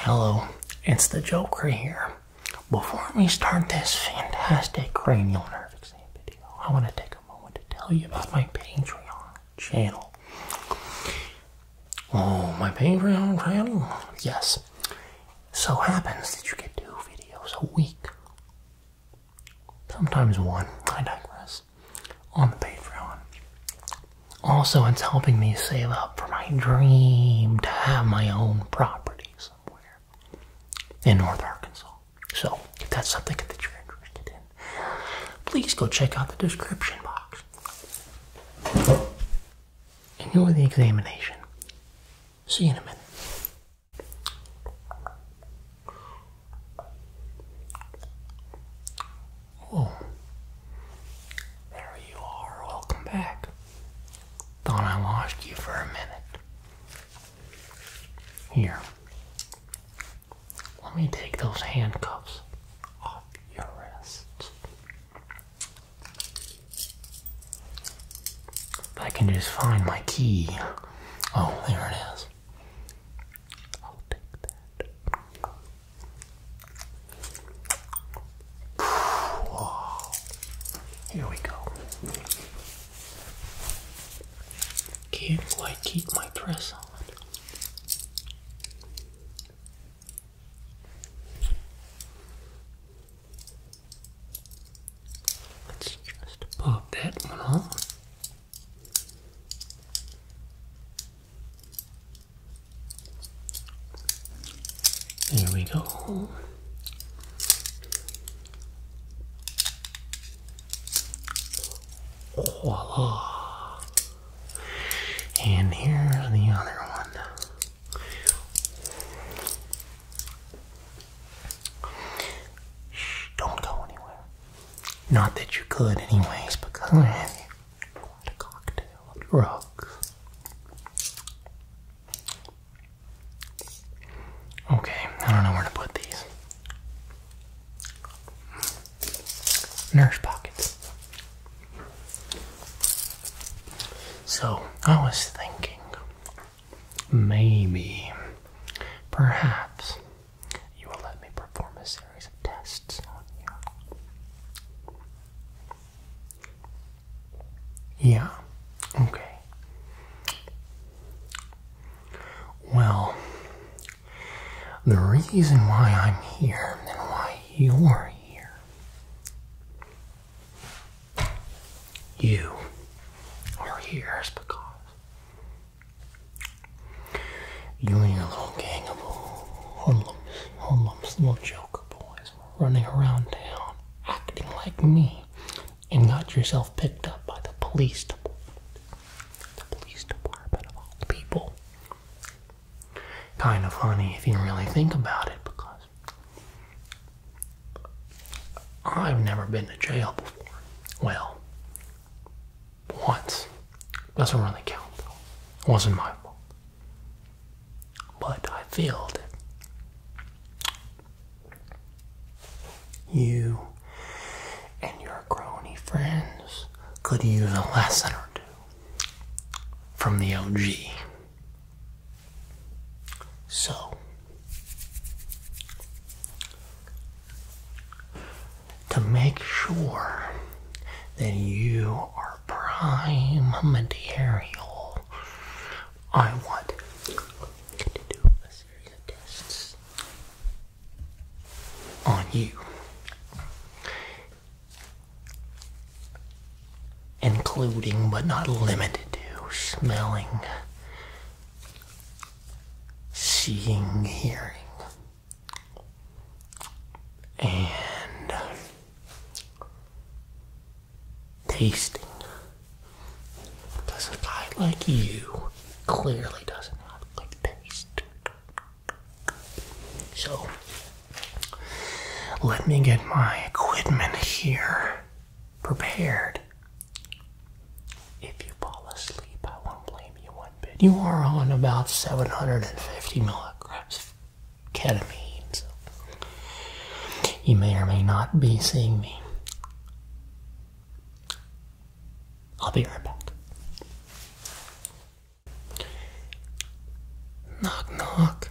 Hello, it's the Joker here. Before we start this fantastic cranial nerve exam video, I want to take a moment to tell you about my Patreon channel. Oh, my Patreon channel? Yes. So happens that you get two videos a week. Sometimes one, I digress, on the Patreon. Also, it's helping me save up for my dream to have my own property somewhere in North Arkansas. So, if that's something that you're interested in, please go check out the description box. Enjoy the examination. See you in a minute. Oh, there you are. Welcome back. Thought I lost you for a minute. Here, let me take those handcuffs off your wrists. If I can just find my key. Oh, there it is. I'll take that. Here we go. Can't quite keep my press on. Let's just pop that one off. There we go. Voila. And here's the other one. don't go anywhere. Not that you could anyways, because drugs. Okay, I don't know where to put these. Nurse pockets. So, I was thinking maybe, perhaps, you will let me perform a scene series tests on you. Yeah, okay. Well, the reason why I'm here and why you're here. You are here is because you and your little gang of hoodlums, lumps, little joker boys were running around town acting like me and got yourself picked up by the police department. The police department of all people. Kind of funny if you really think about it because I've never been to jail before. Well, once. Doesn't really count though. It wasn't my fault. But I failed. You and your crony friends could use a lesson or two from the OG. So, to make sure that you are prime material. I want to do a series of tests on you, including but not limited to smelling, seeing, hearing and uh, tasting Does a guy like you clearly doesn't have good taste. So let me get my equipment here prepared. If you fall asleep, I won't blame you you are on about 750 milligrams of ketamine. you may or may not be seeing me. I'll be right back. Knock, knock.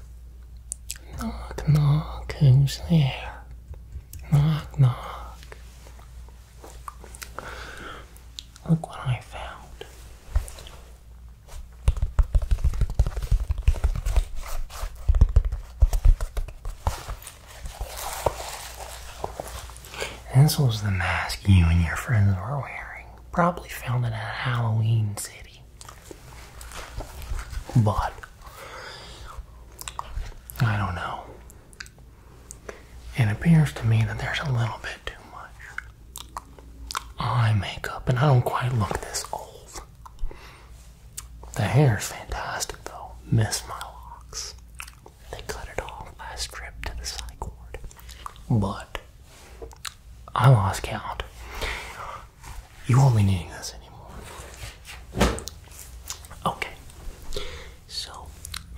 Knock, knock. Who's there? Knock, knock. Look what I found. This was the mask you and your friends were wearing. Probably found it at Halloween City. But, I don't know. It appears to me that there's a little bit too much. Oh, I make up, and I don't quite look this old. The hair is fantastic though. Miss my locks. They cut it off last trip to the psych ward. But I lost count. You won't be needing this anymore. Okay. So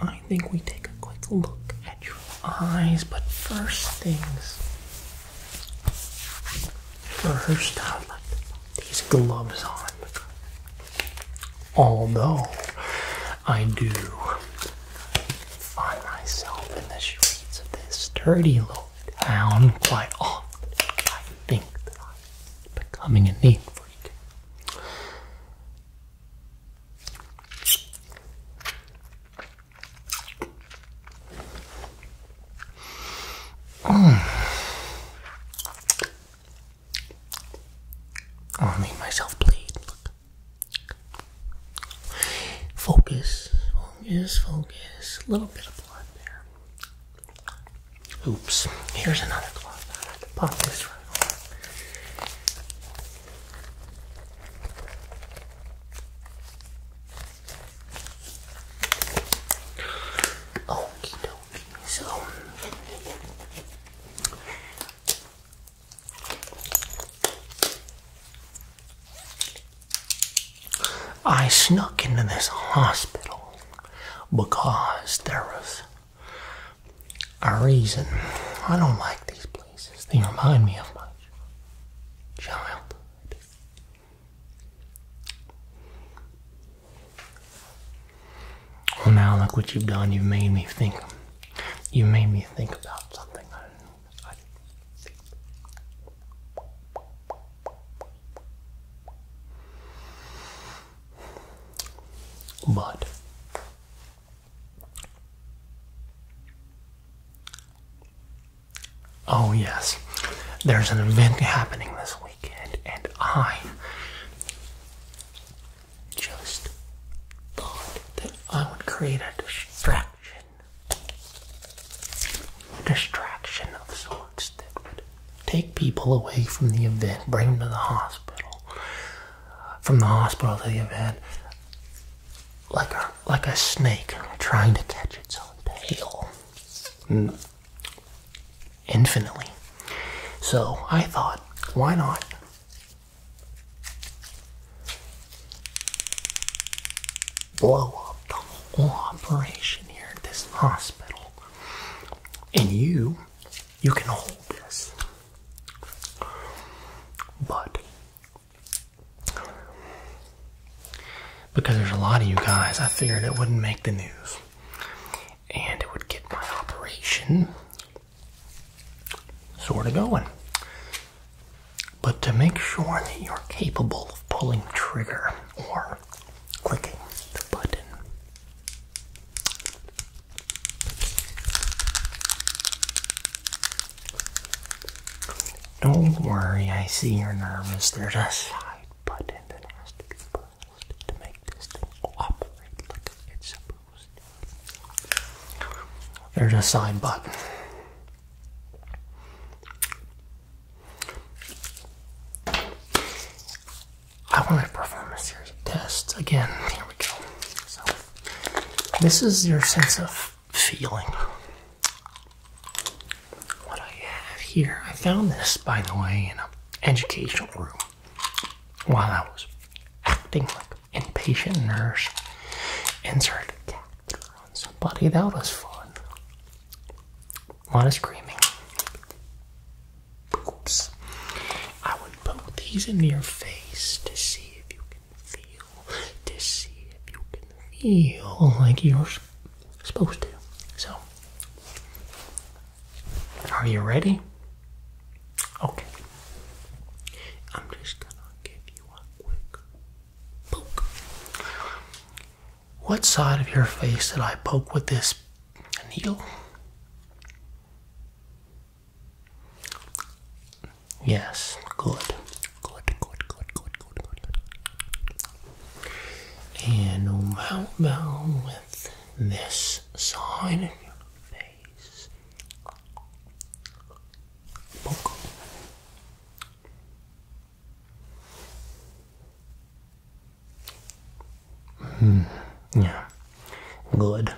I think we take a quick look at your eyes, but first things first, these gloves on. Although I do find myself in the streets of this dirty little town quite often, I think that I'm becoming a need freak. Oh, I made myself bleed. Focus, focus, focus. A little bit of blood there. Oops. Here's another cloth. Pop this right on. Okie So, I snuck into this hospital because there was a reason. I don't like these places. They remind me of my childhood. Well, now look what you've done. You've made me think. You made me think about something But Oh, yes, there's an event happening this weekend, and I just thought that I would create a distraction. distraction of sorts that would take people away from the event, bring them to the hospital, from the hospital to the event like a like a snake trying to catch its own tail infinitely so i thought why not blow up the whole operation here at this hospital and you you can hold this but because there's a lot of you guys, I figured it wouldn't make the news. And it would get my operation sort of going. But to make sure that you're capable of pulling trigger or clicking the button, don't worry, I see you're nervous. There's a side button that has to be pressed to make this thing operate like it's supposed to. There's a side button. I want to perform a series of tests. Again, here we go. This is your sense of feeling. What I have here, I found this, by the way, in an educational room while I was acting like an inpatient nurse. Insert a catheter on somebody. That was fun. A lot of screaming. Oops. I and poke these into your face to see if you can feel, to see if you can feel like you're supposed to. So, are you ready? Okay. I'm just gonna give you a quick poke. What side of your face did I poke with this needle? Yes, good. Good, good, good, good, good, good. And how about with this side of your face? Poke. Mm, yeah. Good.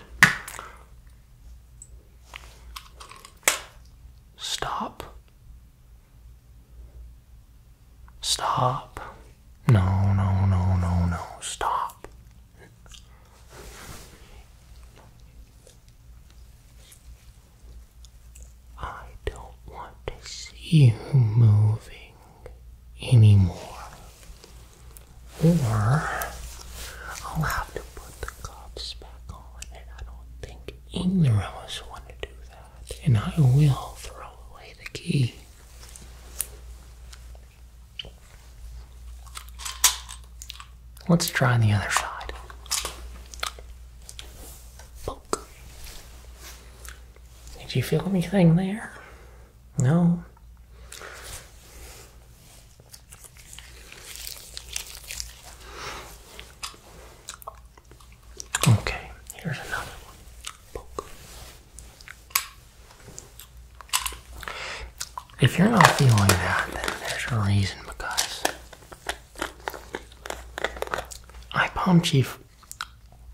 Stop. Stop. No, no, no, no, no. Stop. I don't want to see you moving anymore. Or I'll have to put the cuffs back on, and I don't think either of us want to do that. And I will throw away the key. Let's try the other side. Did you feel anything there? No. Okay, here's another one. If you're not feeling that, then there's a reason because I palm chief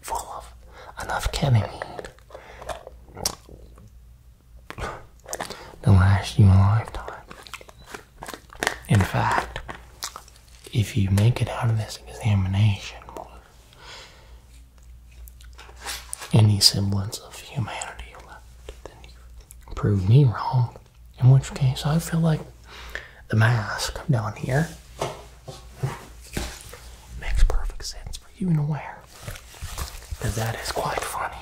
full of enough ketamine to last you a lifetime. In fact, if you make it out of this examination with any semblance of humanity left, then you prove me wrong. In which case, I feel like the mask down here makes perfect sense were even aware that that is quite funny.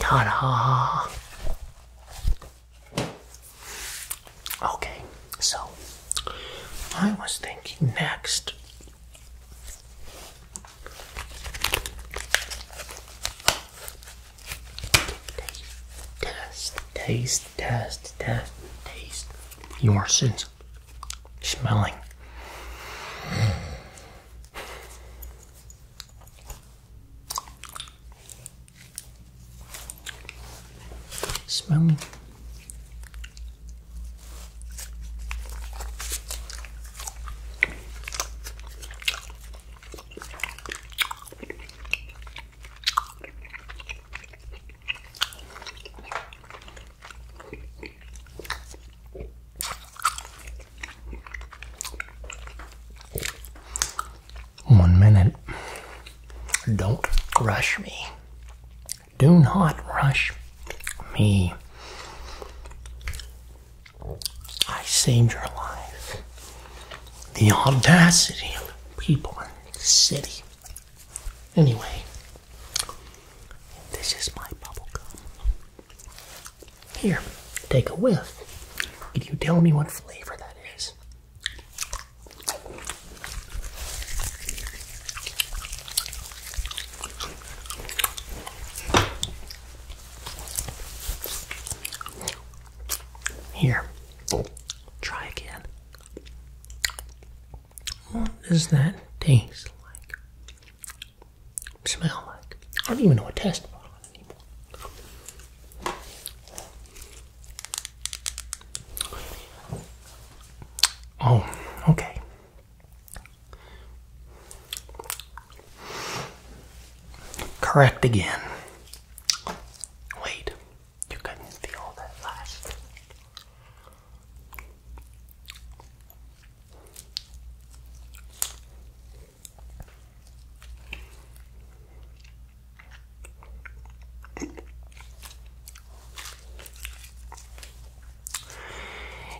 Ta da! Okay, so I was thinking next Taste, taste, taste, taste, taste your sense smelling. Smelling one minute. Don't rush me. Do not rush me. I saved your life. The audacity of people in the city. Anyway, this is my bubble gum. Here, take a whiff. Can you tell me what flavor that is? Here, try again. What does that taste like? Smell like? I don't even know what test bottle anymore. Oh, okay. Correct again. Wait, you could feel that last.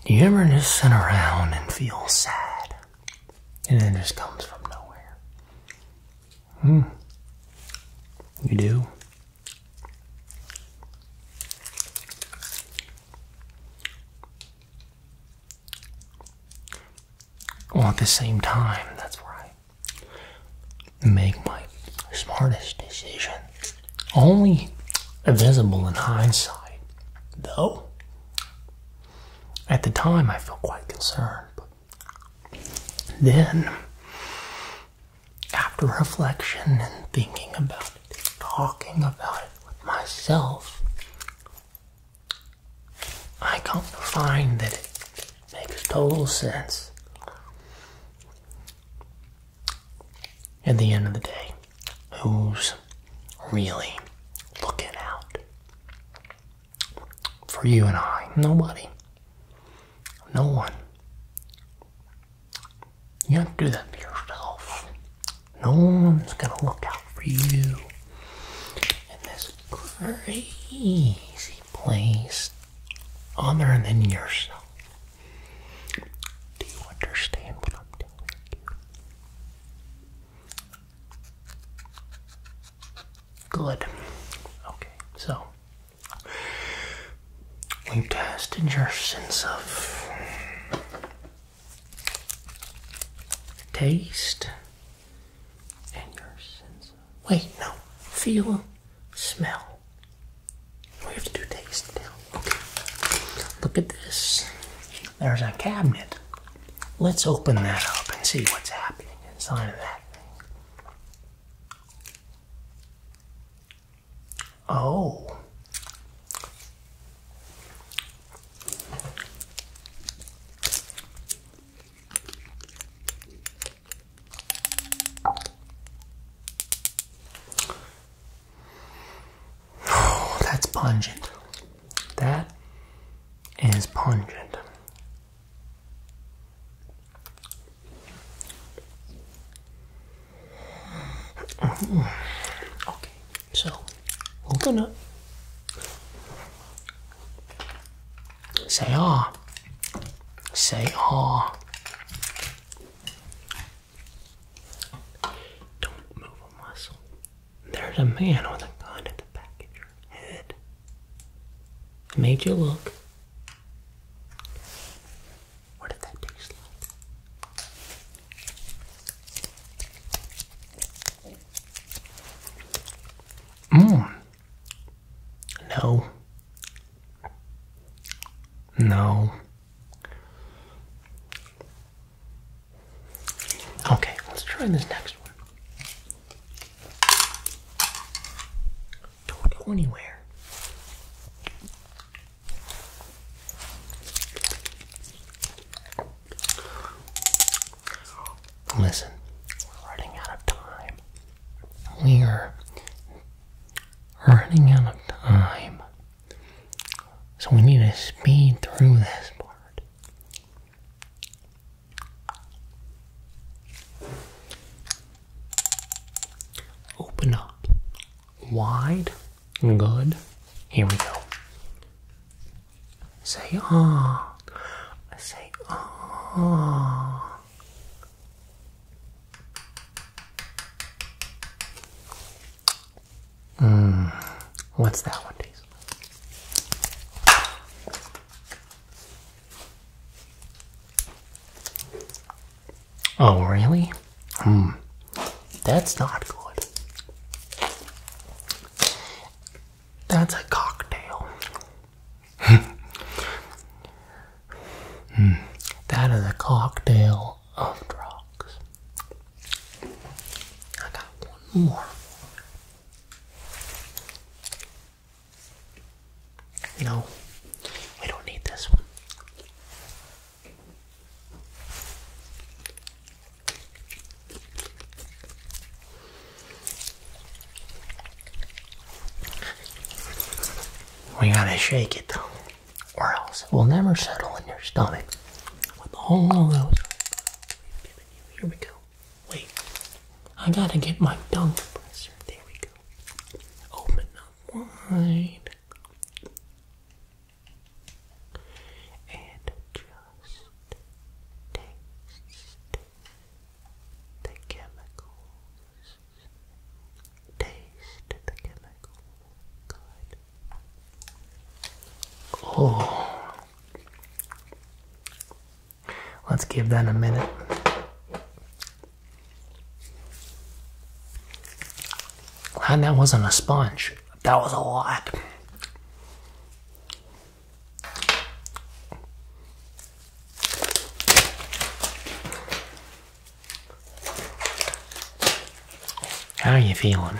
Do you ever just sit around and feel sad? And then just comes from nowhere. Hmm. You do? Well, at the same time, that's where I make my smartest decisions only visible in hindsight, though. At the time, I felt quite concerned. But then, after reflection and thinking about it, talking about it with myself, I come to find that it makes total sense. At the end of the day, who's really looking out for you and I? Nobody. No one. You have to do that to yourself. No one's going to look out for you in this crazy place other than yourself. Do you understand what I'm telling you? Good. Okay, so we've tested your sense of taste and your sense of. Wait, no. Feel, smell. We have to do taste Okay. Look at this. There's a cabinet. Let's open that up and see what's happening inside of that thing. Oh. that's pungent. That is pungent. Okay, so we're gonna say ah, say ah. Don't move a muscle. There's a man with a gun at the back of your head. I made you look. What did that taste like? Mmm. No. No. Okay, let's try this next one. Don't go anywhere. Listen, we're running out of time. We are running out of time. So we need to speed through this part. Open up. Wide. Good. Here we go. Say ah. Say ah. Mm, what's that one taste? Oh, really? Hmm. That's not good. That's a cocktail. Hmm. that is a cocktail of drugs. I got one more. No, we don't need this one. We gotta shake it though or else it will never settle in your stomach with all those Here we go. Wait, I gotta get my tongue There we go. Open wide and just the chemicals Taste the chemical. Good. Oh. Let's give that a minute. Glad that wasn't a sponge. That was a lot. How are you feeling?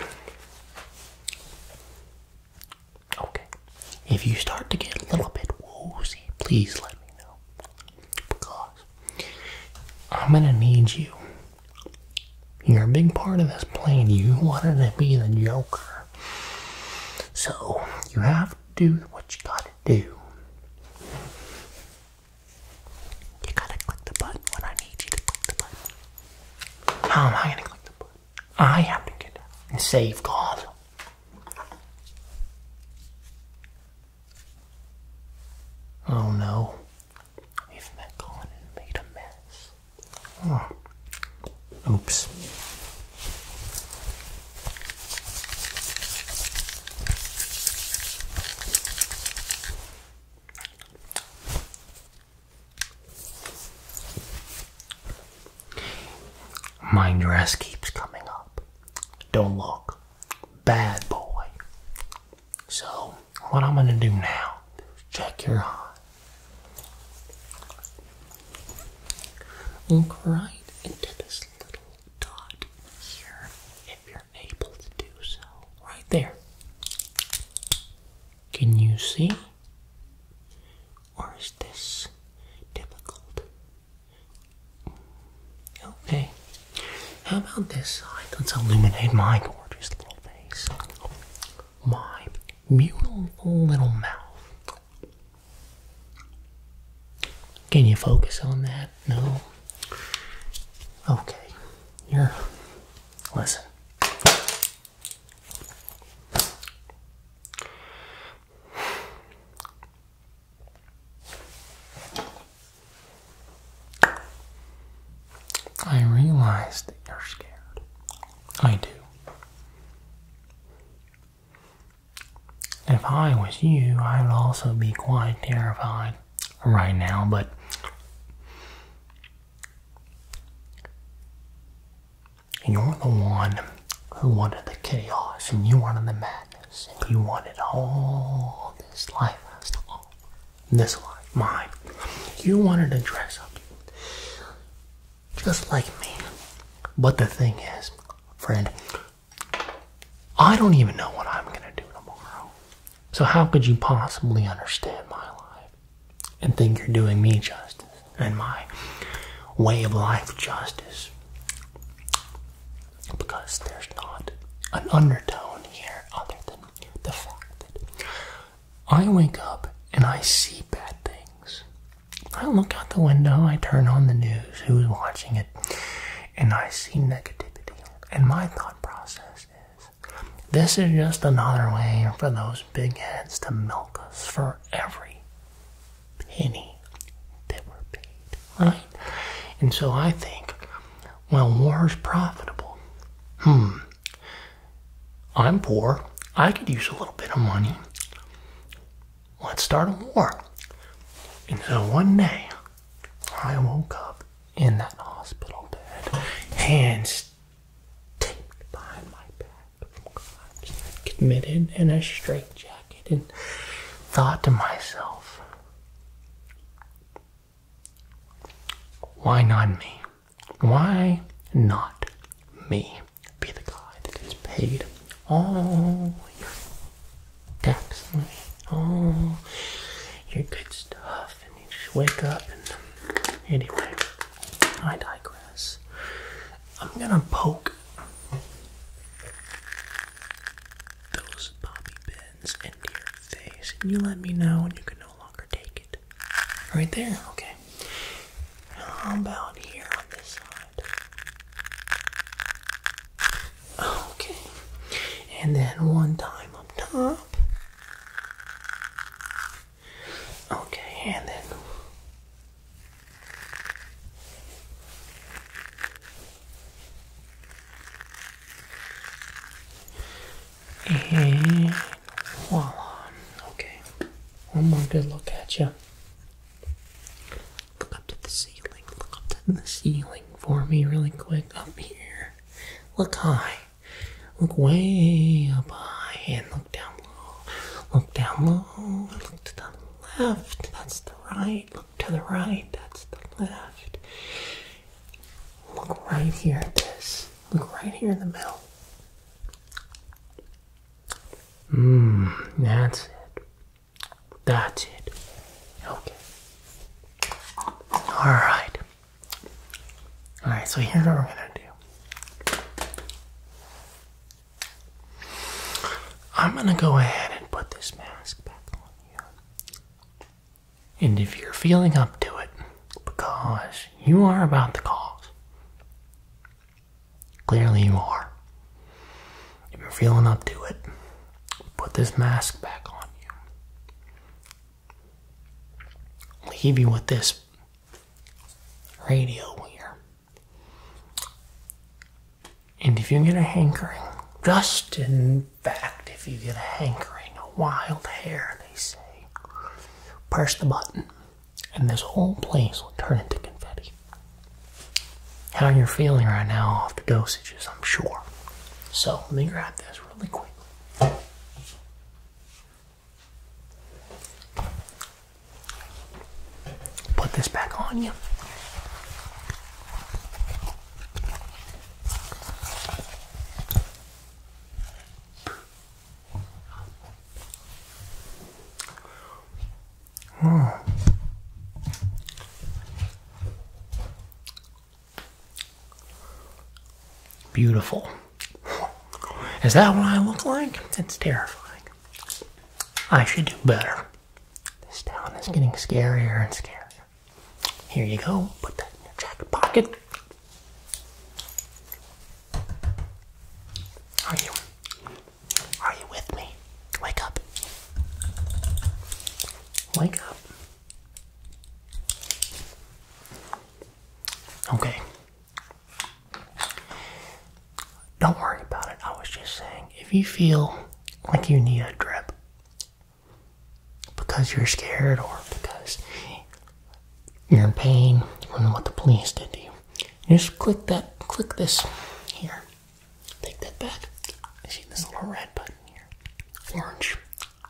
Okay. If you start to get a little bit woozy, please let me know. Because I'm going to need you. You're a big part of this plan. You wanted to be the Joker. So, you have to do what you got to do. You gotta click the button when I need you to click the button. How am I gonna click the button? I have to get out and save God. Oh no. We've met and made a mess. Hmm. Oops. My dress keeps coming up. Don't look. Bad boy. So, what I'm going to do now is check your eye. Look right into this little dot here if you're able to do so. Right there. Can you see? Or is this difficult? Okay. How about this side? Let's illuminate my gorgeous little face. My beautiful little mouth. Can you focus on that? No. Okay. Here. Listen. I realize that you're scared. I do. If I was you, I'd also be quite terrified right now, but you're the one who wanted the chaos and you wanted the madness and you wanted all this life, this life, mine. You wanted to dress up just like me. But the thing is, friend, I don't even know what I'm going to do tomorrow. So, how could you possibly understand my life and think you're doing me justice and my way of life justice? Because there's not an undertone here other than the fact that I wake up and I see bad things. I look out the window, I turn on the news, who's watching it? and I see negativity. And my thought process is this is just another way for those big heads to milk us for every penny they were paid, right? And so I think, well, war's profitable. Hmm. I'm poor. I could use a little bit of money. Let's start a war. And so one day, I woke up in that hospital bed, hands taped behind my back I committed in a straitjacket, and thought to myself, why not me? Why not me be the guy that paid all tax money. Oh, your good stuff. And you just wake up and. Anyway, I digress. I'm gonna poke those poppy pins into your face, and you let me know when you can no longer take it. Right there, okay. How about here on this side? Okay, and then one time up top. Okay, and then. And voila. Okay, one more good look at you. Look up to the ceiling. Look up to the ceiling for me, really quick. Up here. Look high. Look way up high and look down low. Look down low. Look to the left. That's the right. Look to the right. That's the left. Look right here at this. Look right here in the middle. Mmm, that's it. That's it. Okay. Alright. Alright, so here's what we're gonna do. I'm gonna go ahead and put this mask back on you. And if you're feeling up to it, because you are about to cause Clearly, you are. If you're feeling up to it, put this mask back on you. Leave you with this radio here. And if you get a hankering, just in fact, if you get a hankering, a wild hair, they say, press the button, and this whole place will turn into confetti how you're feeling right now off the dosages, I'm sure. So let me grab this really quickly. Put this back on you. Hmm. Beautiful. Is that what I look like? It's terrifying. I should do better. This town is getting scarier and scarier. Here you go. Put that in your jacket pocket. Are you are you with me? Wake up. Wake up. Okay. Don't worry about it. I was just saying, if you feel like you need a drip because you're scared or because you're in pain and what the police did to you, just click that, click this here. Take that back. See this little red button here? Orange.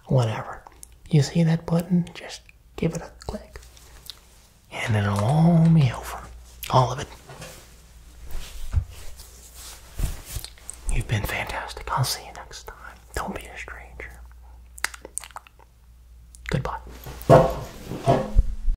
Whatever. You see that button? Just give it a click. And it'll all be over. All of it. You've been fantastic. I'll see you next time. Don't be a stranger. Goodbye.